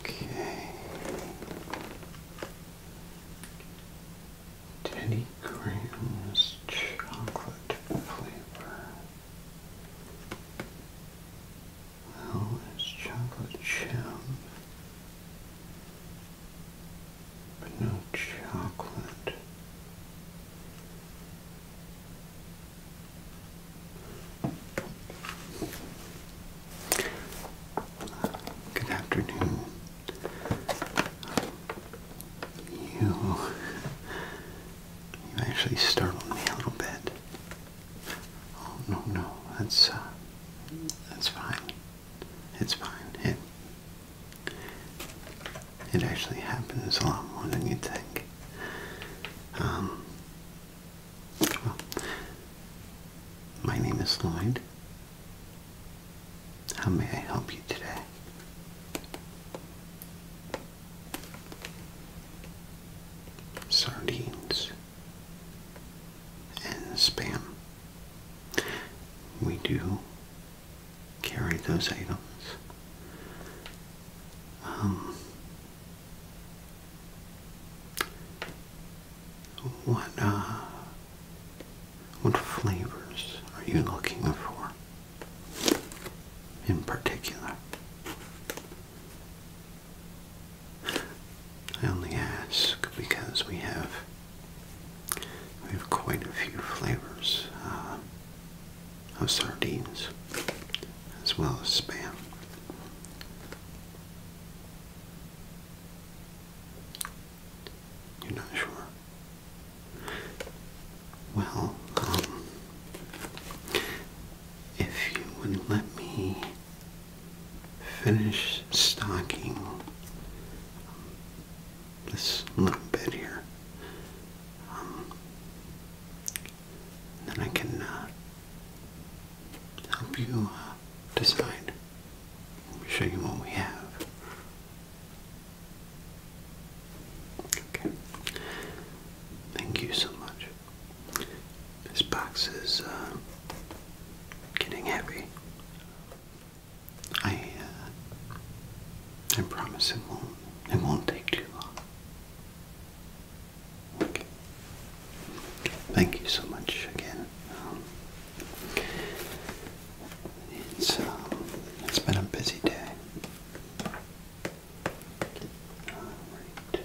Okay. Teddy Graham's chocolate flavor. Well, it's chocolate chip, but no chocolate. Good afternoon. You, you actually startled me a little bit. Oh no, no, that's uh, that's fine. It's fine. It it actually happens a lot more than you think. Um, well, my name is Lloyd. How may I help you today? Sardines and spam. We do carry those items. Um, what uh, what flavors are you looking for in particular? I only ask because we have we have quite a few flavors. Uh, of sardines as well as spam. You're not sure? Well, um, if you would let me finish stocking this little bit here. Um, then I can uh, help you uh, decide. Let me show you what we have. Okay. Thank you so much. This box is uh, getting heavy. I uh, I promise it won't. It won't take too long. Okay. Thank you so much again. Um, um, it's been a busy day. All right.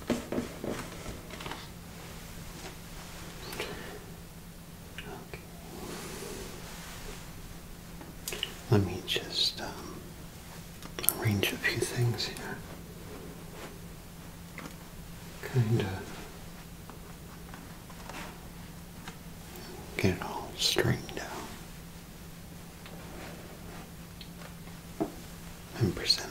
Let me just um, arrange a few things here. Kind of get it all straightened out. I'm presentable.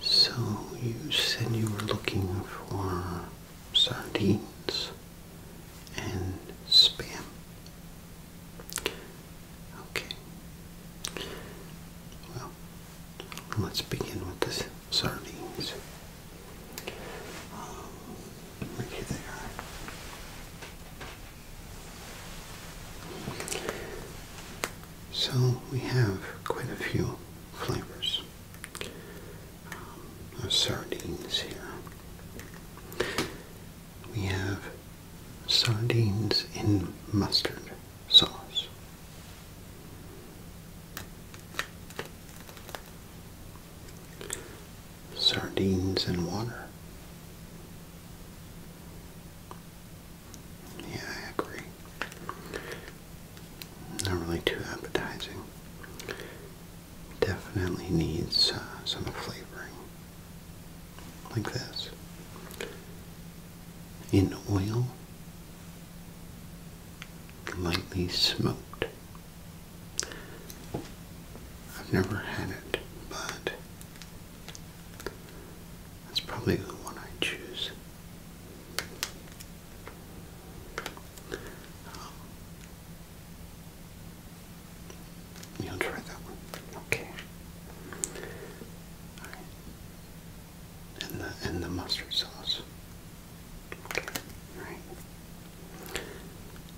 so you said you were looking for sardines and spam. Okay. Well, let's begin with the sardines. right um, here they are. So we have quite a few flavors um, of sardines here. We have sardines in mustard sauce. Sardines in water. Yeah, I agree. Not really too appetizing. Definitely needs uh, some flavoring. Like this. In oil, lightly smoked. I've never had it, but that's probably the one I choose. you'll try that one. Okay. And the and the mustard sauce. right.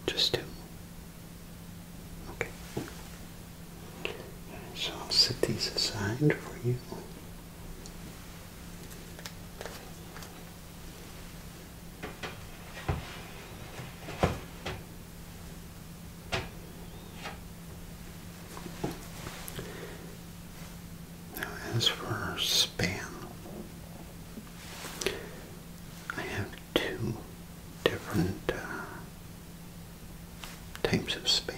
Just to Okay. So I'll set these aside for you. Now, as for span, I have two different uh, types of spam.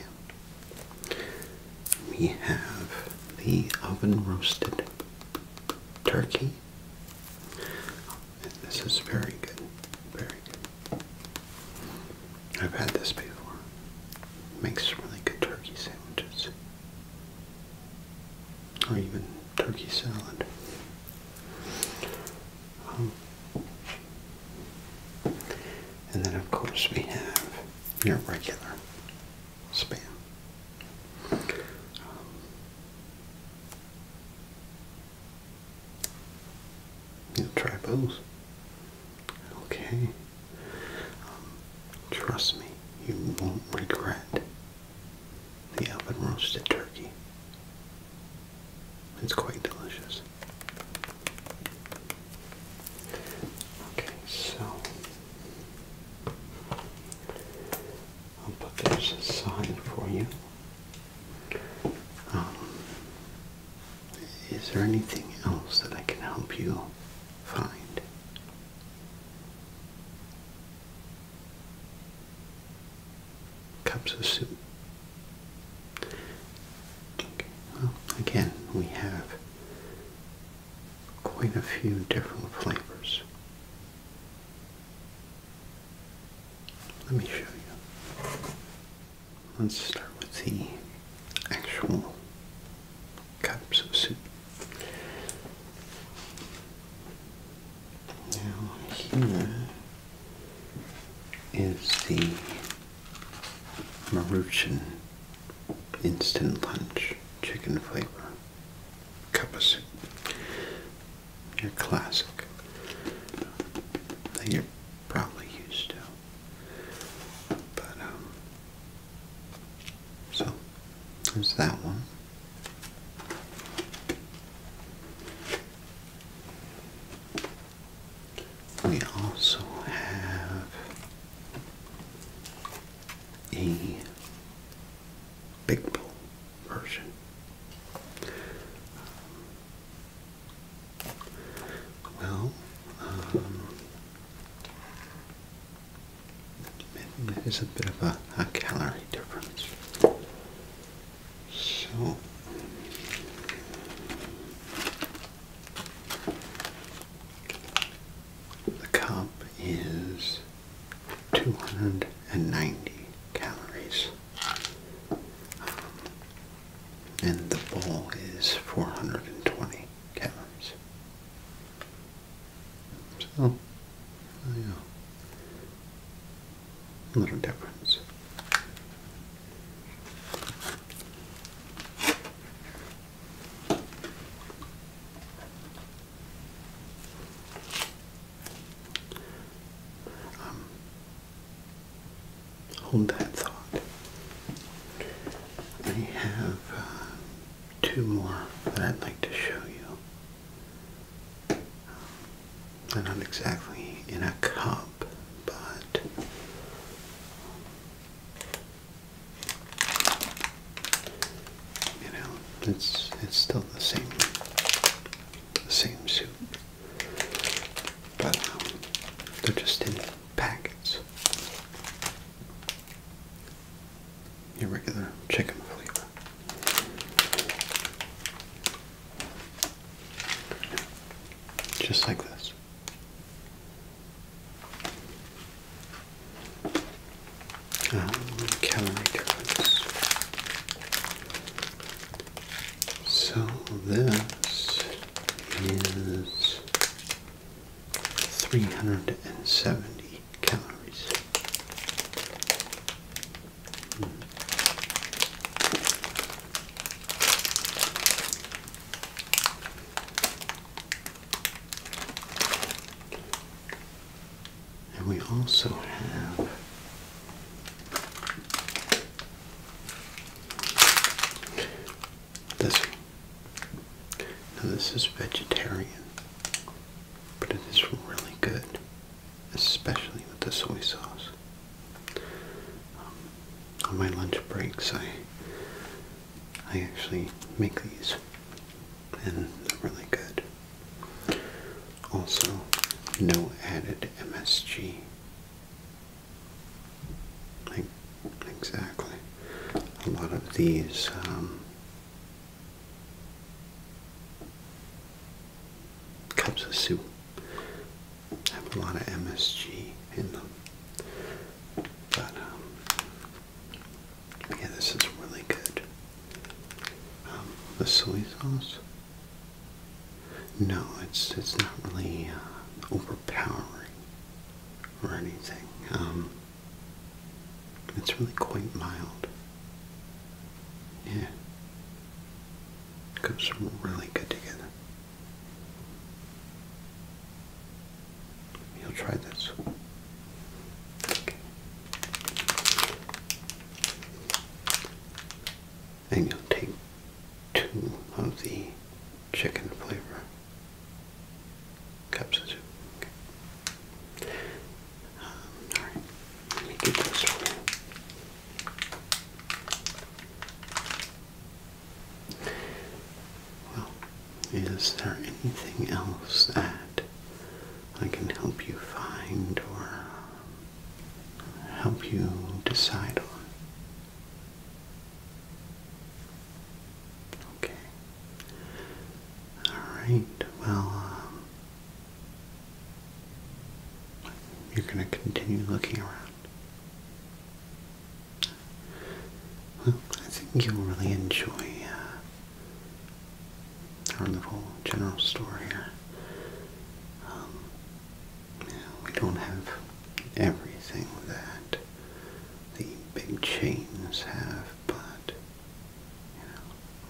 We have the oven roasted turkey. this is very good, very good. I've had this before. Makes really good turkey sandwiches. Or even turkey salad. Um, and then, of course, we have your regular spam. Um, You'll try both. Okay. Um, trust me, you won't regret the oven roasted turkey. It's quite delicious. Okay, so I'll put this aside for you. Um, is there anything else that I can help you find? Cups of soup. Okay, well, again, we have quite a few different flavors. Let me show you. Let's start with the actual cups of soup. Now, here is the Maruchan instant lunch chicken flavor cup of soup. Your classic that you're probably used to. But um so there's that one. We also have a big bowl version. Um, well, um, a bit of a calorie difference. So the cup is 290 calories. and the bowl is 420 calories. So, yeah, little difference. Um, hold that thought. I have uh, two more that I'd like to show you. they're not exactly in a cup, but you know, it's it's still the same the same soup. But um, they're just in packets. Your chicken flavor. Just like this calorie difference. So this is 370 calories. Hmm. And we also have this this is vegetarian, but it is really good, especially with the soy sauce on my lunch breaks, I I actually make these, and they're really good. Also, no added MSG. exactly. A lot of these. Um, cups of soup have a lot of MSG in them. But, um, yeah, this is really good. Um, the soy sauce? No, it's, it's not really uh, overpowering or anything. Um, it's really quite mild. Yeah. Goes really good together. You'll try this. And you'll take two of the chicken flavor cups um, all right. Let me get this for well, is there anything else that I can help you find or help you decide on? Okay. Alright, well, um, you're going to continue looking around. Well, I think you'll really enjoy uh, our little general store here. Um, we don't have everything that the big chains have, but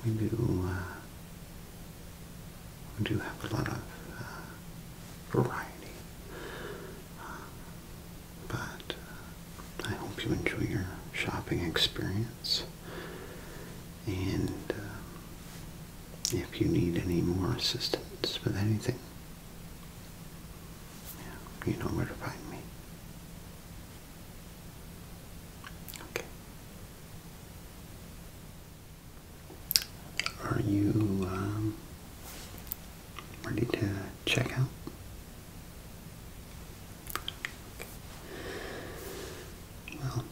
you know, we do. Uh, we do have a lot of uh, variety but uh, I hope you enjoy your shopping experience. And uh, if you need any more assistance with anything, you know where to find me. Okay. Are you um, ready to check out. Well,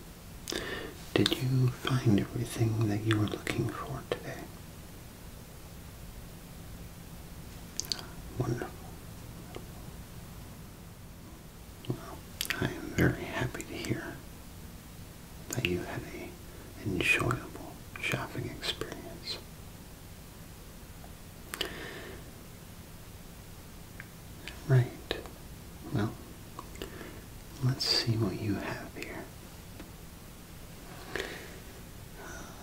did you find everything that you were looking for today? Wonderful. Well, I am very happy to hear that you had a enjoyable shopping experience. Right. Well, let's see what you have here.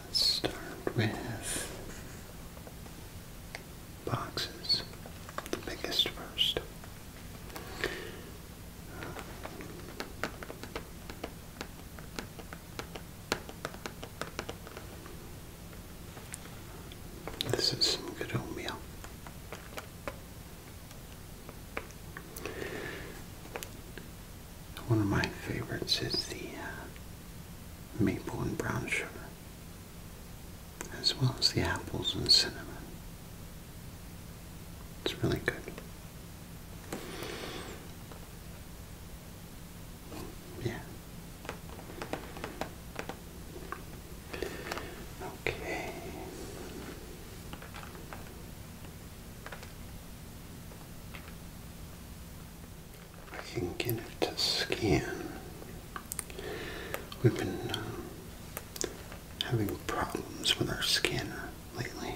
let's start with boxes, the biggest first. This is some good oatmeal. One of my favorites is the uh, maple and brown sugar, as well as the apples and cinnamon. It's really good. Yeah. Okay. I can get it to scan. We've been um, having problems with our scanner lately.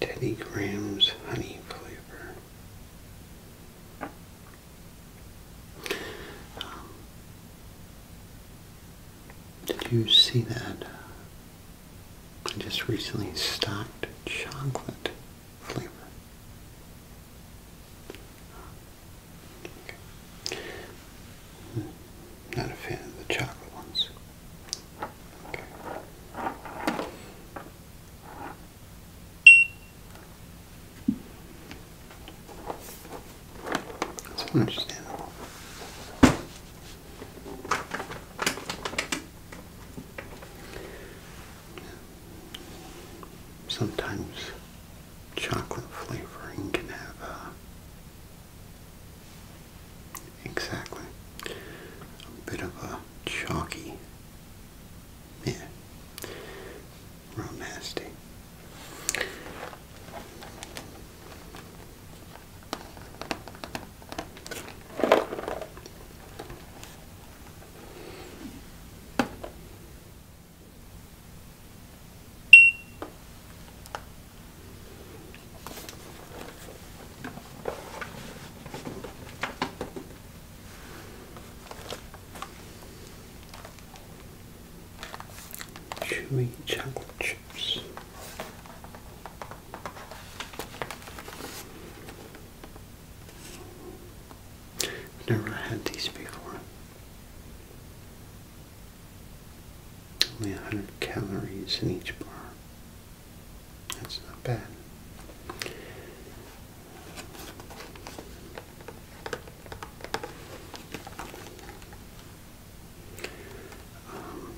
Teddy Graham's honey flavor. Um, did you see that? I uh, just recently stocked chocolate flavor. Hmm, not a fan of the chocolate ones. Okay. That's understandable. Sometimes chocolate flavoring can have uh, Exactly. A bit of a chalky. Yeah. Real nasty. Chewy chocolate chips. never had these before. Only 100 calories in each bar. That's not bad. Um,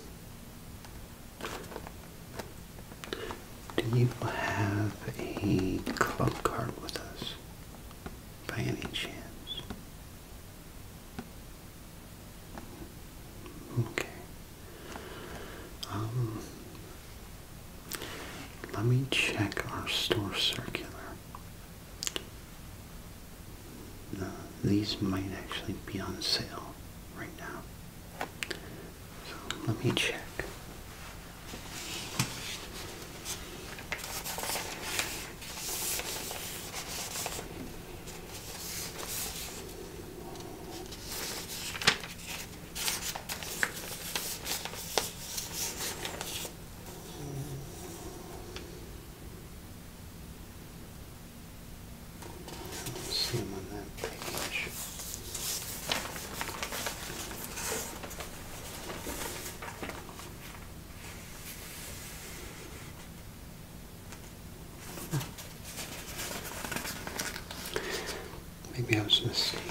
do you have a club card with us by any chance? Okay. Um, let me check our store circular. Uh, these might actually be on sale right now. let me check see them on that page. Maybe I was mistaken.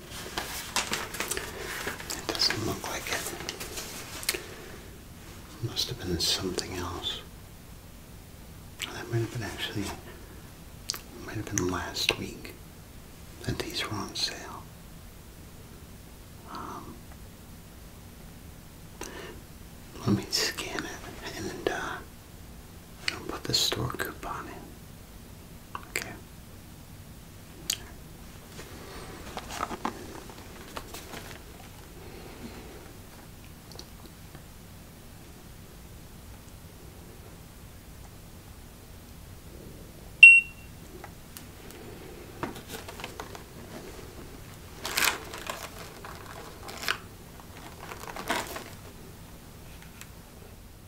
It doesn't look like it. must have been something else. That might have been actually, might have been last week that these were on sale. Um, let me scan it and uh, I'll put the store coupon in. Okay.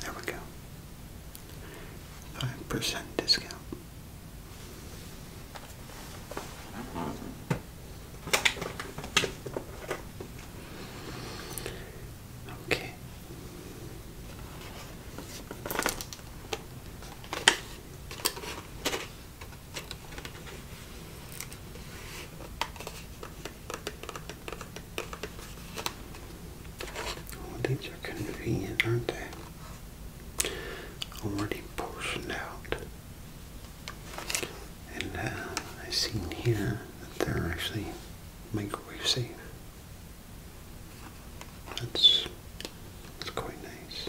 There we go. 5% discount. Okay. Oh, these are convenient, aren't they? Already portioned out. And uh, I've seen here that they're actually microwave safe. That's, that's quite nice.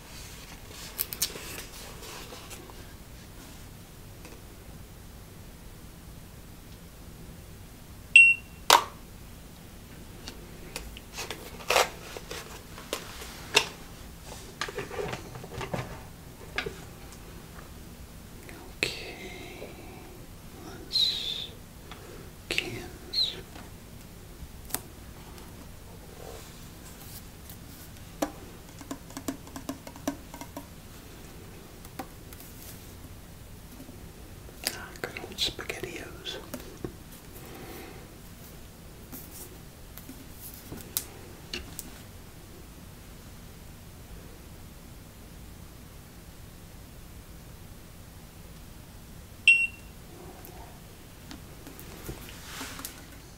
Okay, let's cans good old SpaghettiOs.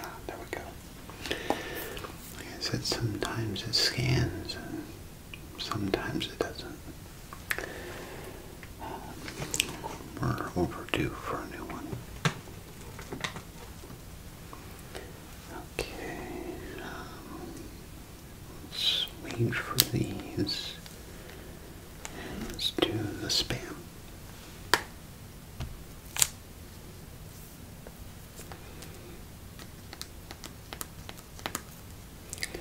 Ah, there we go. I said, sometimes it scans and sometimes it doesn't. Um, we're overdue for a new one. Okay, um, let's wait for these. Let's do the spam. Okay.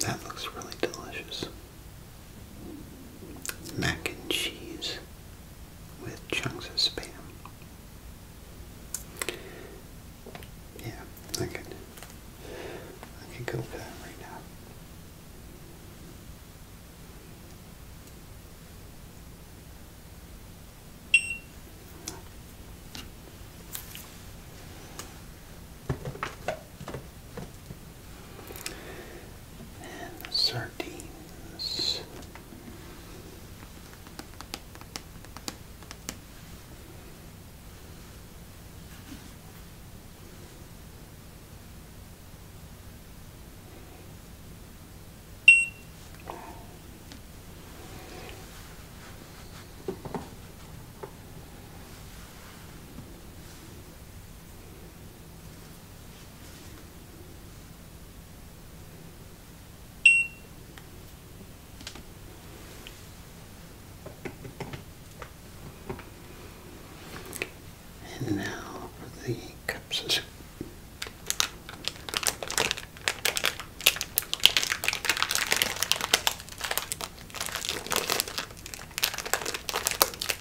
That looks really delicious mac and cheese with chunks of spam. Yeah, I could, I could go for that right now and sardines. And now for the cups.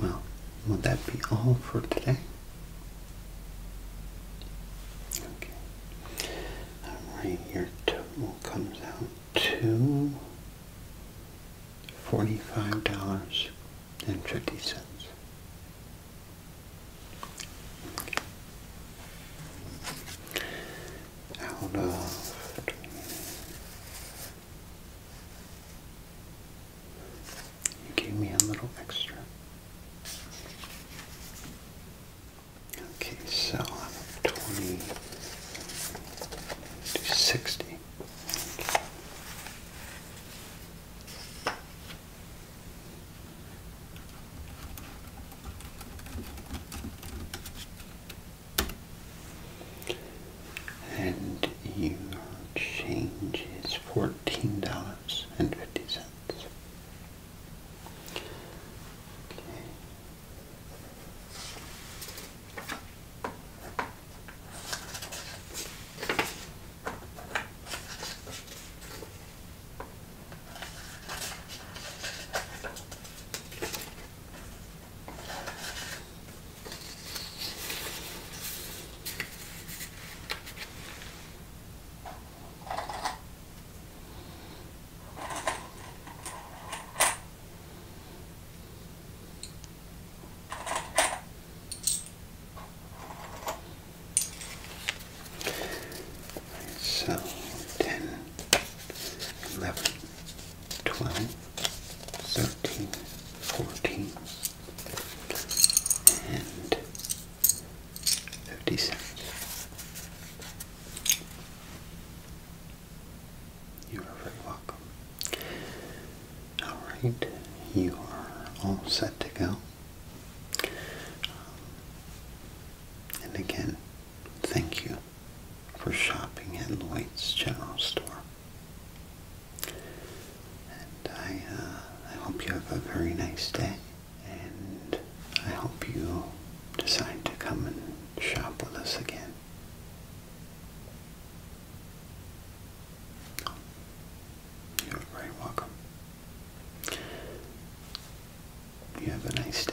Well, would that be all for today? Okay. Alright, your total comes out to forty-five dollars and fifty cents out of you gave me a little extra. Okay, so out of 20 to 60. And your change is fourteen dollars and fifty cents. Okay. So 10, 12, 13, 14, and 57. You are very welcome. Alright, you are all set to go. Um, and again, Thank you for shopping at Lloyd's General Store. And I, uh, I hope you have a very nice day. And I hope you decide to come and shop with us again. You're very welcome. You have a nice day.